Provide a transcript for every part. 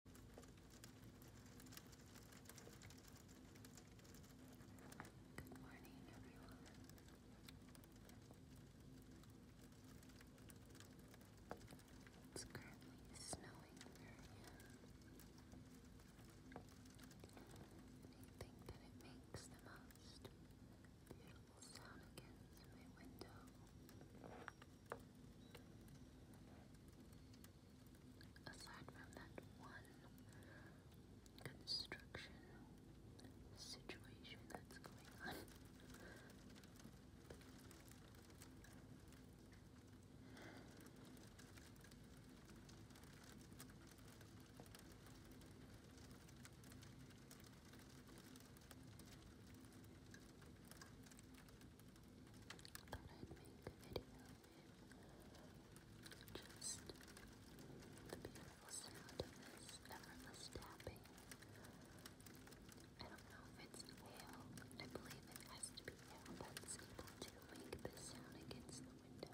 Good morning, everyone. It's currently snowing where I think that it makes the most beautiful sound against my window aside from that one construction situation that's going on thought I'd make a video with just the beautiful sound of this effortless tapping. I don't know if it's hail, I believe it has be able to make this sound against the window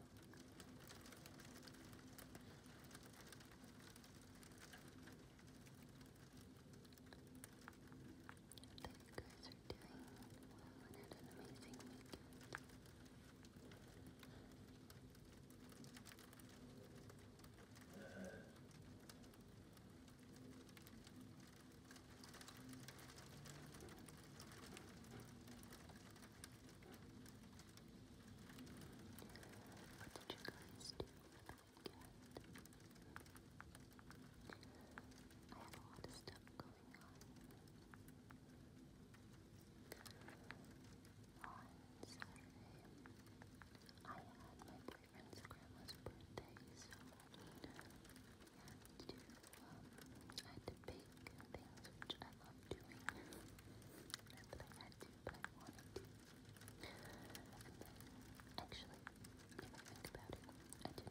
that you guys are doing well and an amazing weekend. What you guys do I have a lot of stuff going on. On Saturday, I had my boyfriend's grandma's birthday, so I had to, I had bake which I love doing. Not that I had to, but I wanted to. actually, if I think about it, I did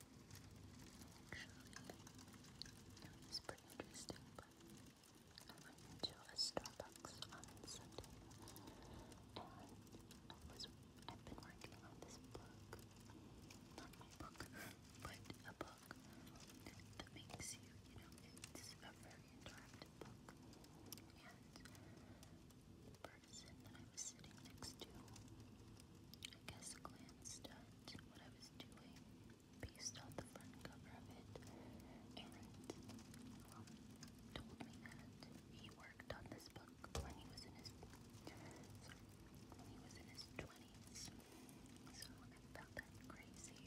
Actually, pretty interesting, but I went to a Starbucks on Sunday, and I was, I've been working on this book, not my book, but a book that makes you, you know, it's a very interactive book, and the person that I was sitting next to, I guess instant what I was doing based on the front cover of it and told me that he worked on this book when he was in his sorry, when he was in his twenties. So I found that crazy.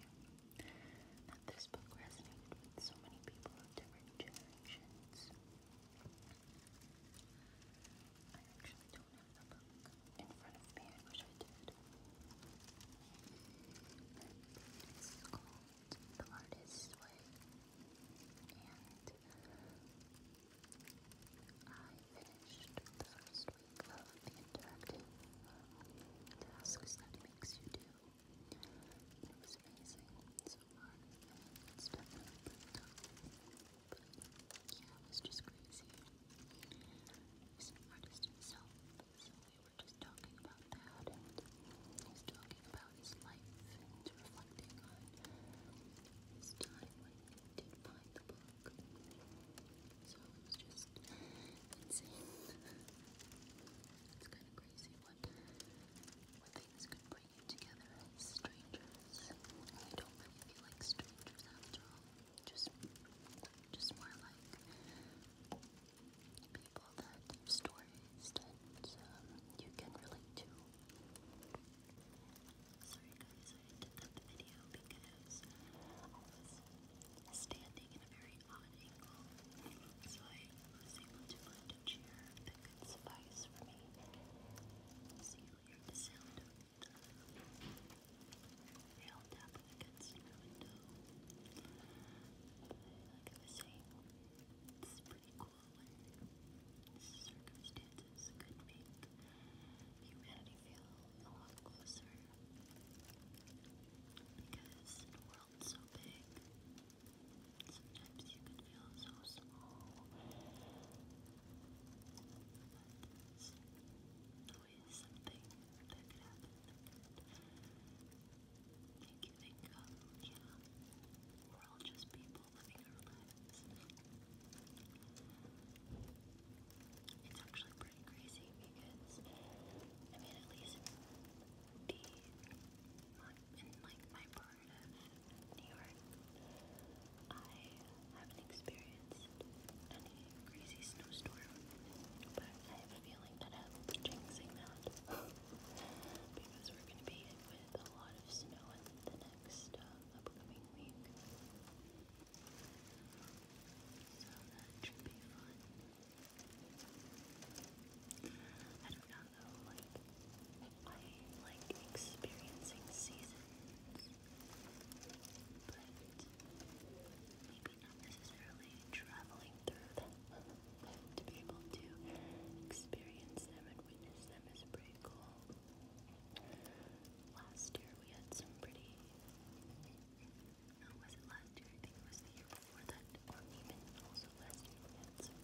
That this book resonated with so many people of different generations the book in front of me, I wish I did. It's called The Artist's Way, and I finished the first week of the interactive tasks that makes you do. It was amazing so far, and it's definitely yeah, it was just crazy. He's artist himself, so we were just talking about that, and he's talking about his life reflecting on his time when he did find the book. So it was just insane. it's kind of crazy what, what things could bring you together strangers. I don't really feel like strangers after all. Just, just more like people that have stories that you can relate to. Sorry guys, I did that video because I was standing in a very odd angle, so I was able to find a chair that could suffice for me. So you hear they all tap against my window. like I was saying, it's pretty cool when circumstances could make humanity feel a lot closer. Because the world's so big, sometimes you can feel so small always something that could happen that you think, oh yeah, we're all just people living our lives. It's actually pretty crazy because, I mean, at least the, in like my part of New York, I haven't experienced any crazy snowstorm, but I have a feeling that I'm jinxing that because we're going to be with a lot of snow the next uh, upcoming week. So that should be fun. I don't know though, like, I like experiencing seasons maybe not necessarily traveling through them to be able to experience them and witness them is pretty cool. Last year we had some pretty was it last year? I think it was the year before that, or even also last year we had some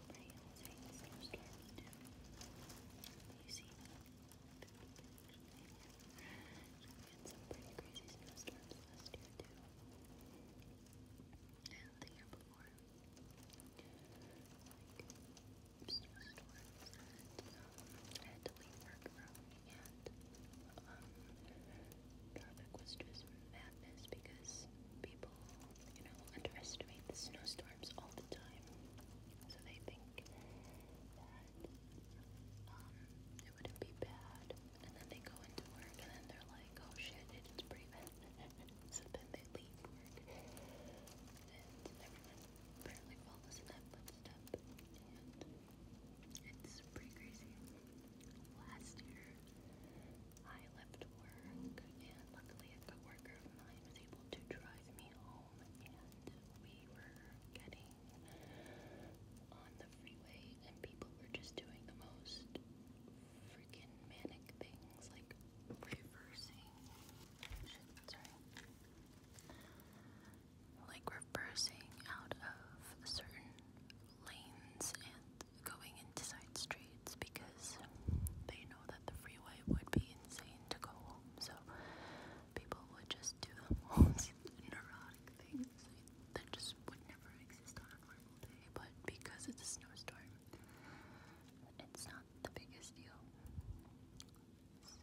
pretty insane snowstorms You see, had some pretty crazy snowstorms last year too. And the year before. Like snowstorms and um, I had to leave work early and traffic was just madness because people, you know, underestimate the snowstorms all the time. So they think um, it wouldn't be bad. And then they go into work and then they're like, oh shit, it's pretty bad. so then they leave work. And everyone apparently follows that footstep. it's pretty crazy. Last year, I left work and luckily a coworker of mine was able to drive me home we were getting on the freeway and people were just doing the most freaking manic things like reversing like reversing out of certain lanes and going into side streets because they know that that the freeway would be insane to go home, so people would just do the most neurotic things that just would never exist on a normal day. But because it's a snowstorm, it's not the biggest deal. So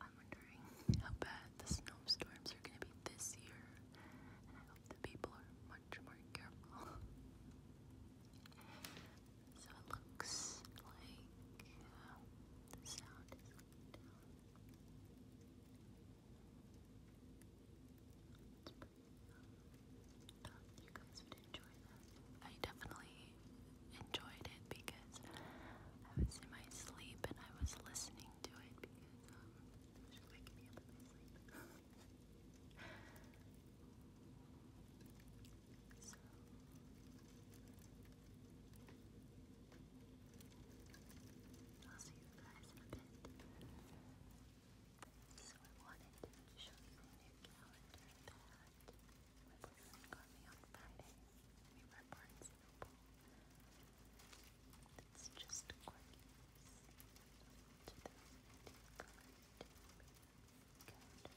I'm wondering how bad the snowstorms are going to be this year, and I hope that people are much more careful. So it looks like uh, the sound is going um, you guys would enjoy that. I definitely enjoyed it because I was in my sleep and I was listening to it because um, So i you wanted to show you the new calendar that my boyfriend got on Friday. We were at Barnes and Noble. just gorgeous. 2019 calendar, calendar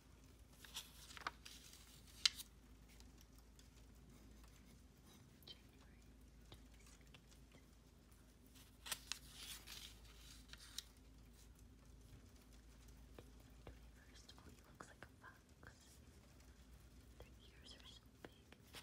First of all, he looks like a fox. Their ears are so big. Nineteen twenty. The ears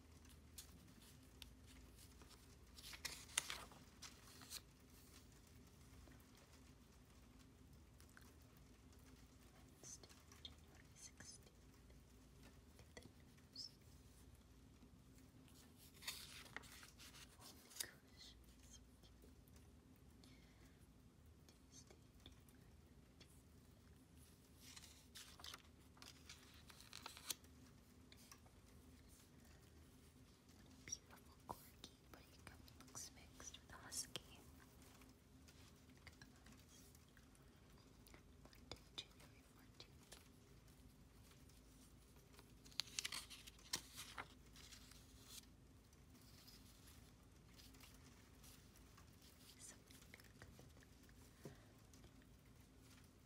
Wednesday, January 16th, the news. Only corrections. Tuesday, January 19th, what a beautiful corgi, but he looks mixed with husky. Look at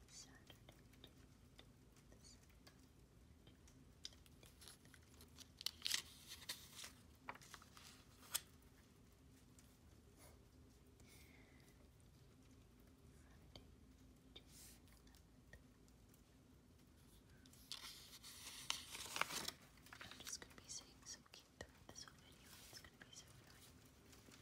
Saturday, I'm just going to be saying some cute throughout this whole video. It's going to be so annoying.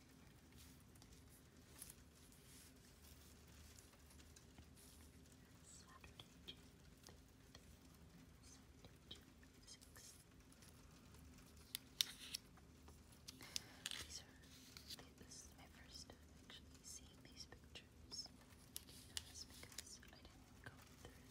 Saturday, June These are, this is my first time actually seeing these pictures. That's because I didn't go through them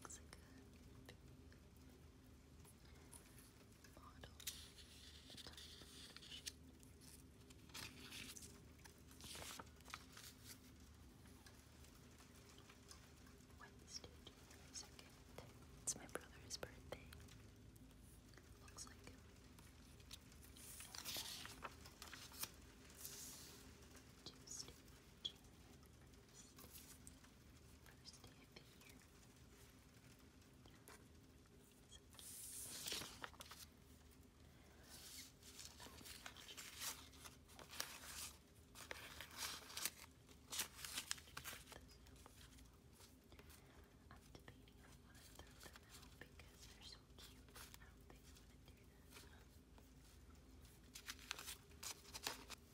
Looks like Wednesday, 2nd. It's my brother's birthday. Looks like Tuesday, January First day of the year. I'm debating if I want to throw them out because they're so cute. I don't think I'm going to do that. Um,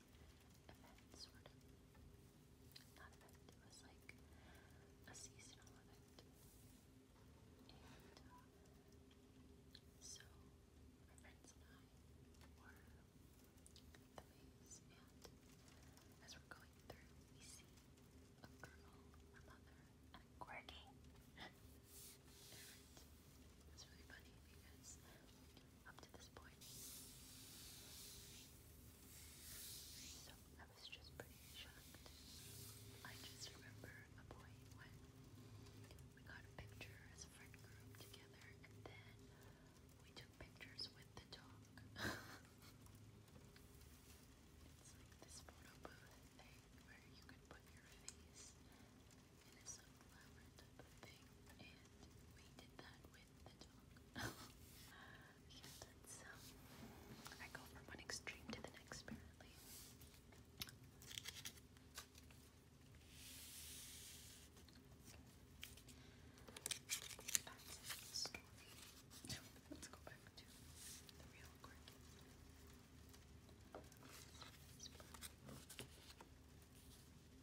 event, sort of. Not event, it was like a seasonal event. Uh, so my friends and I were the maze, and as we're going through, we see a girl, a mother, and a quirky. really funny because up to this point. So I was just pretty shocked. I just remember a point when we got a picture as a friend group together and then we took pictures with the dog. this photo booth thing where you could put your face in a sunflower type of thing and we did that with the I go from one extreme to the next apparently. Let's go back to the real quick.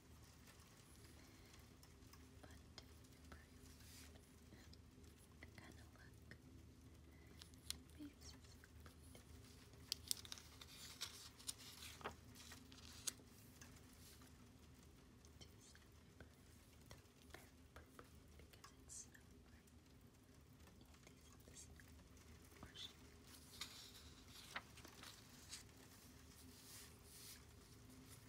But improve kind of look. Beefs are so good. Too because it's snow, right? Andy's in the snow.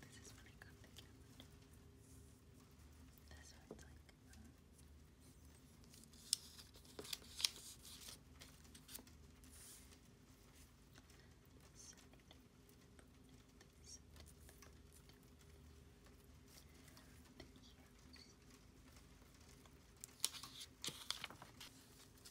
This is when I got the camera. That's what it's like. Um, huh? Yes.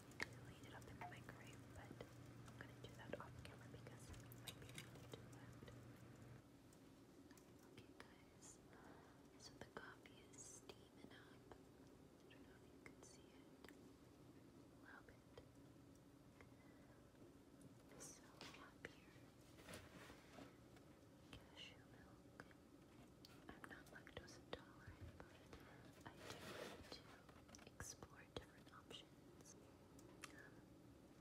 really I'm gonna do that off camera because it might be really Okay guys, so the coffee is steaming up. I don't know if you can see it. Love it. So up cashew milk. I'm not lactose intolerant, but I do need to explore different options. Um,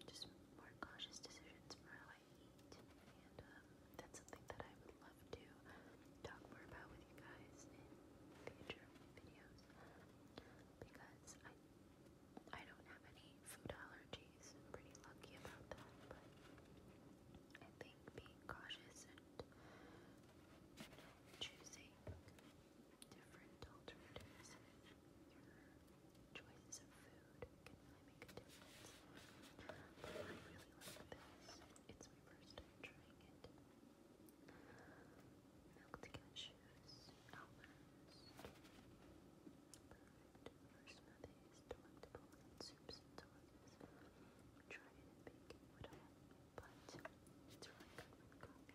just more cautious decisions for how I eat, and um, that's something that I would love to talk more about with you guys in future videos because I I don't have any food allergies. I'm pretty lucky about that, but I think being cautious and you know, choosing different alternatives choices of food can make a difference. But I really like this. It's my first time trying it. Milk cashews, almonds, perfect for smoothies, delectable soups and sauces. Try it and bake but it's really good with coffee.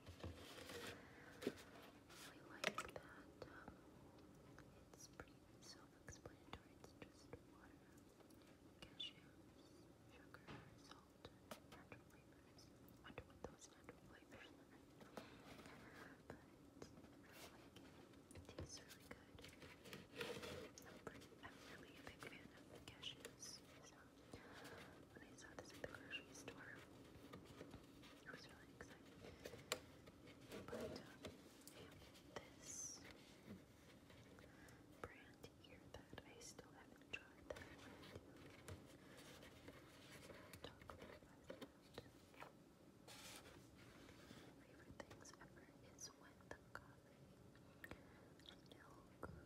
like that it's pretty self-explanatory. It's just water, cashews, sugar, salt, natural flavors. I wonder what those natural flavors But it. tastes really good. i I'm really a big fan of cashews, when I saw this at the grocery store. I was really excited. But this brand here that I still haven't tried that favorite things ever is when the coffee milk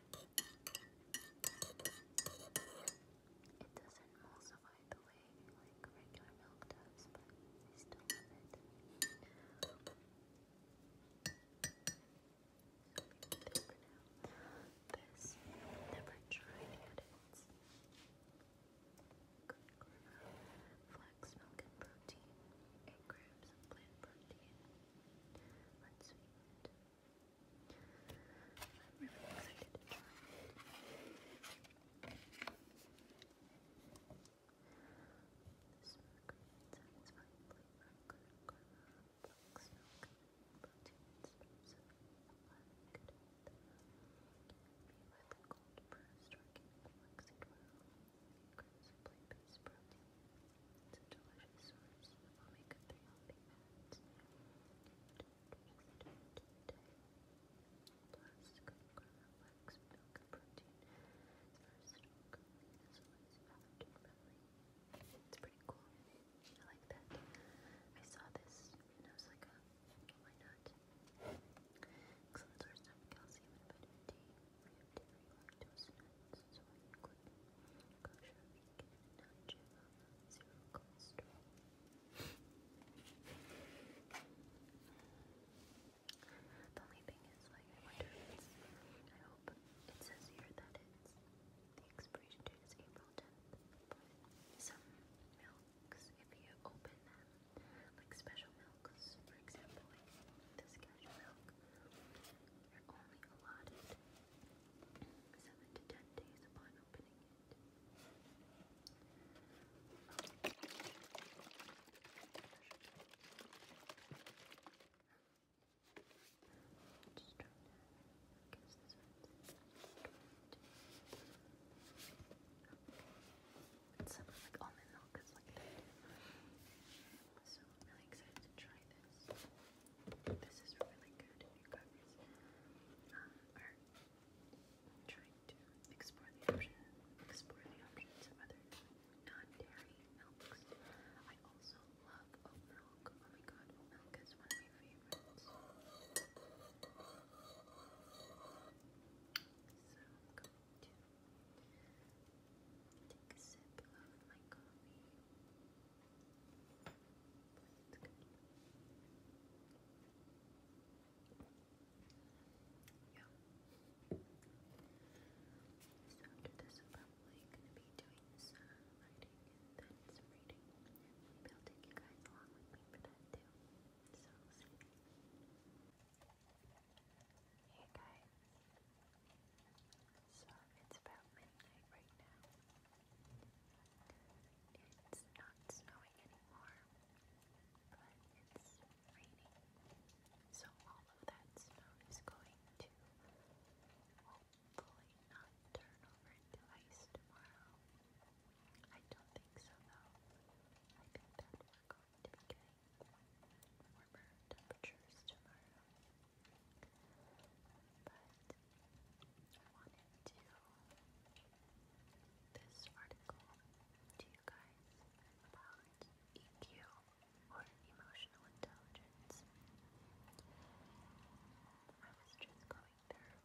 It doesn't emulsify the way like regular milk does, but I still love I've never tried yet. It's good corn, flax milk and protein, 8 grams of plant protein, unsweetened. I'm really excited to try it. This ingredient satisfies flavor, good karma, black milk, proteins, so black death. Be with cold pressed organic flaxseed oil, increasingly based Plus, good It's pretty cool. I like that. I saw this and I was like, why not? calcium and vitamin D. Free of dairy, lactose, nuts, soy, gluten, we the only thing is, like, I wonder I hope it says here that it's, the expiration date is April 10th, some milks, if you open them, like special milks, for example, like this cashew milk, are only allotted seven to ten days upon opening it. Just try that. Guess this one's It's something like almond milk is like So I'm really excited to try this. This is really good if you uh, are trying to explore the option, explore the options of other non-dairy milks. I also love oat milk. Oh my god, oat milk is one of my favorites. So i to take a sip of my coffee. Yeah. So after this, I'm probably going to be doing some writing and some reading. Maybe I'll take you guys along with me for that too. So, Hey guys. So it's about midnight right now. It's not snowing anymore, but it's raining. So all of that snow is going to hopefully not turn over into ice tomorrow. I don't think so though. I think that we're going to be warmer temperatures tomorrow. But I wanted to this article to you guys about EQ or emotional intelligence. I was just going through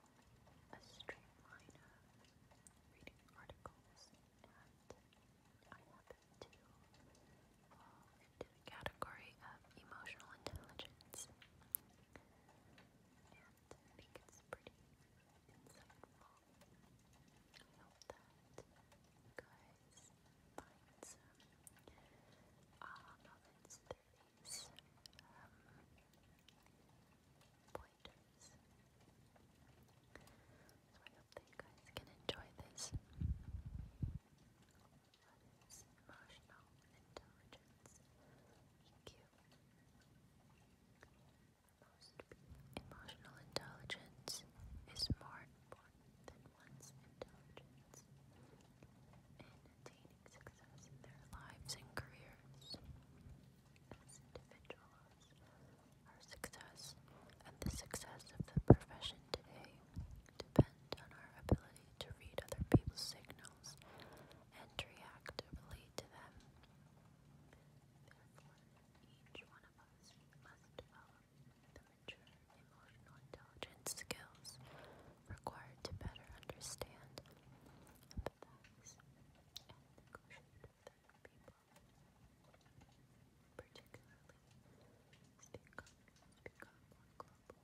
a straight line of reading articles and I happened to into the category of emotional intelligence. And it's pretty insightful. I hope that you guys find some aha moments through these um, pointers. So I hope that you guys can enjoy this. What is emotional intelligence? EQ. Most emotional intelligence is more important than one's intelligence in attaining success in their lives and careers. As individuals, our success and the success of the profession today depend on our ability to read other people's signals and reactively to them. each one of us must develop the mature emotional intelligence skills required to better understand, empathize, and negotiate with other people. Particularly, speak up, speak up global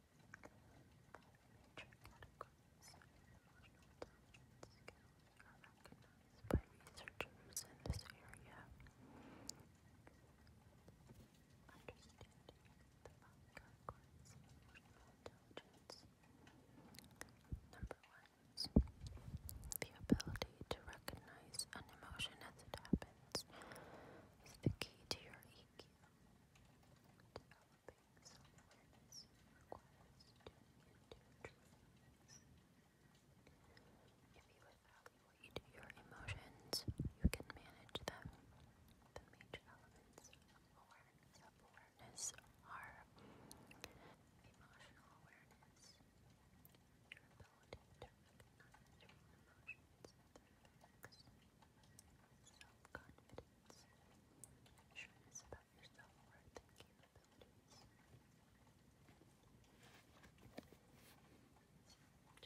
recognized by researchers in this area. Understanding the consequences of emotional intelligence. Number one, the ability to recognize an emotion as it happens is the key to your EQ. Developing If you evaluate your emotions, you can manage them. The major elements of awareness, of awareness are emotional awareness, your ability to recognize your emotions Self-confidence, assurance about your self-worth and capabilities.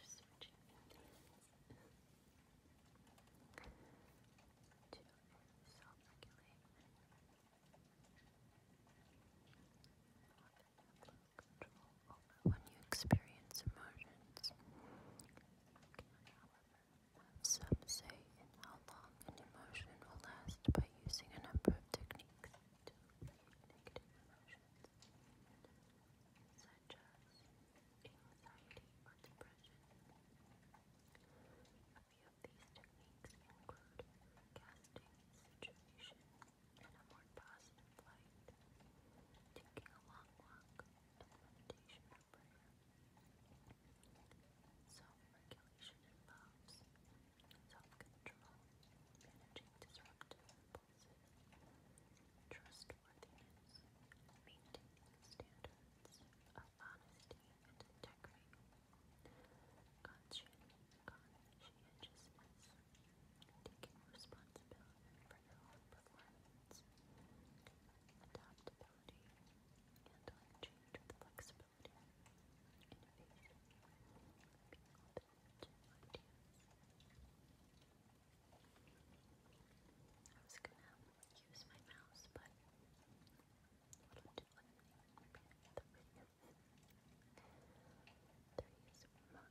Just switching to self-regulate. Control when you experience emotions. Some say in how long an emotion will last by using a number of techniques to alleviate negative emotions, such as anxiety or depression. A few of these techniques include casting a situation a more positive light, taking a long walk, implementation of prayer. Self-regulation involves self-control, managing disruptive impulses, trustworthiness, maintaining standards of honesty and integrity, conscientiousness, taking responsibility for your performance, adaptability, handling change with flexibility, innovation, being I was gonna use my mouse, but what do I do? The video. There is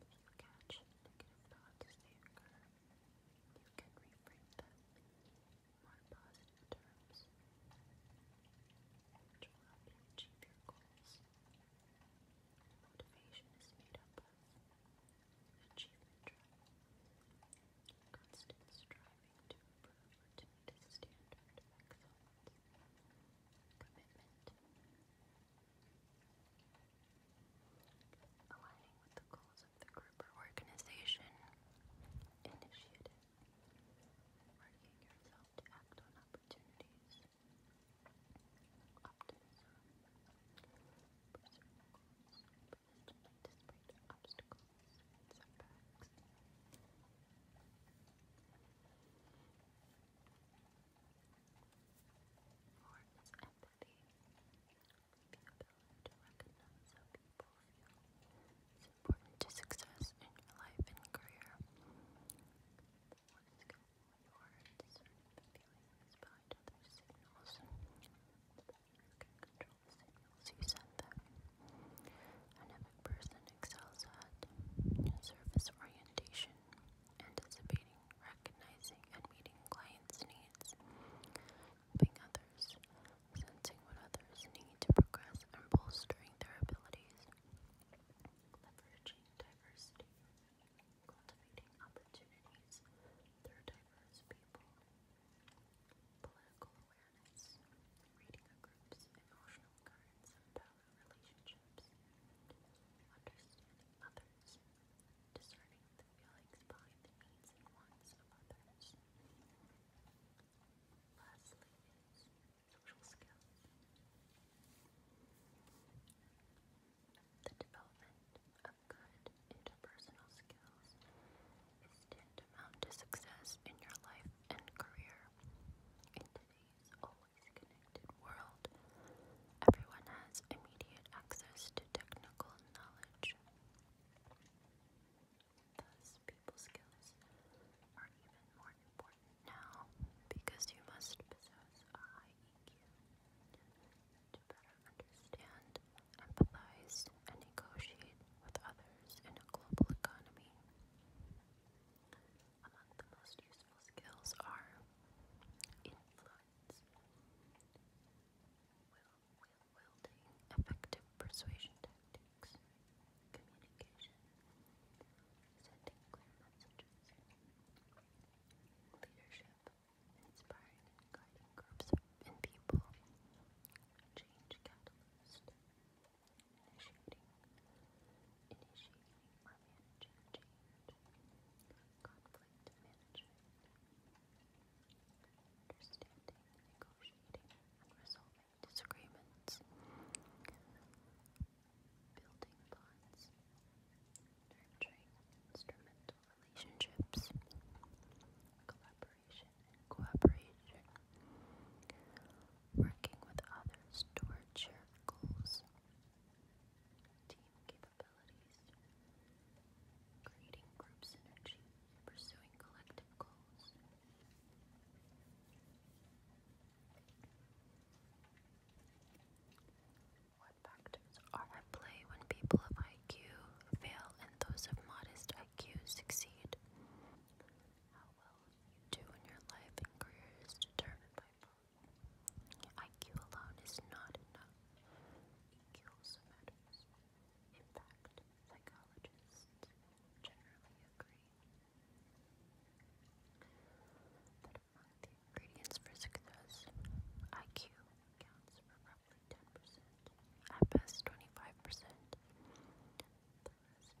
If you catch negative thoughts they occur, you can reframe them in more positive terms, which will help you achieve your goals. Motivation is made up of achievement drive, constant striving to improve or to meet commitment, aligning with the goals of the group or organization initiative, marking yourself to act on opportunities, optimism, pursuing goals obstacles setbacks. Forms empathy, the ability to recognize how people is important to success in your life and career. What is good when you are discerning the behind other signals, you can control the signals you send them. person excels at surface orientation anticipating, recognizing, and meeting clients' needs, helping others, sensing what others need to progress, and bolstering their abilities, leveraging diversity, cultivating opportunities diverse people, political awareness, reading group's emotional currents relationships, understanding others, discerning the feelings behind the needs and wants of others. Lastly social skills. The development of good interpersonal skills is tantamount to success in your life and career. In today's always connected world, everyone has immediate access to technical knowledge. Thus, people skills are even more important now because you must possess a high EQ to better understand, empathize, and negotiate with others in a global economy. Among the most useful skills are influence, effective persuasion tactics, communication, sending clear messages, leadership, inspiring and guiding groups and people, change catalyst, initiating, initiating or managing conflict management, understanding, negotiating, and resolving disagreements, building bonds, nurturing instrumental relationships, collaboration cooperation, working with others towards shared goals team capabilities, creating group synergy, pursuing collective goals. What factors are at play when people of IQ fail and those of modest IQ succeed? How well you do in your life and career is determined by IQ alone is not enough. EQ also matters. In fact, psychologists generally agree that among the ingredients for success, IQ counts for roughly 10%, at best 25%. The rest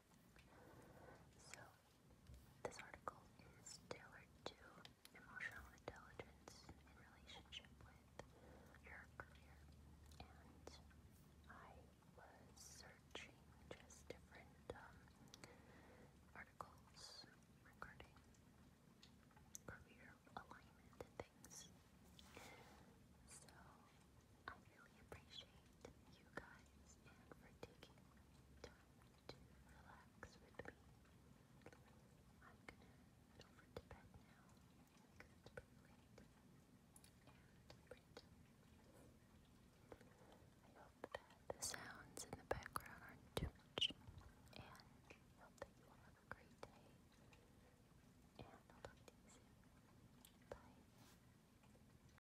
So, this article is tailored to emotional intelligence in relationship with your career, and I was searching just different um, articles regarding career alignment and things. So I really appreciate you guys and for taking time to relax with me. I'm gonna head to bed now because it's pretty late I hope that the sounds in the background aren't too much and I hope that you all have a great day and I'll talk Bye.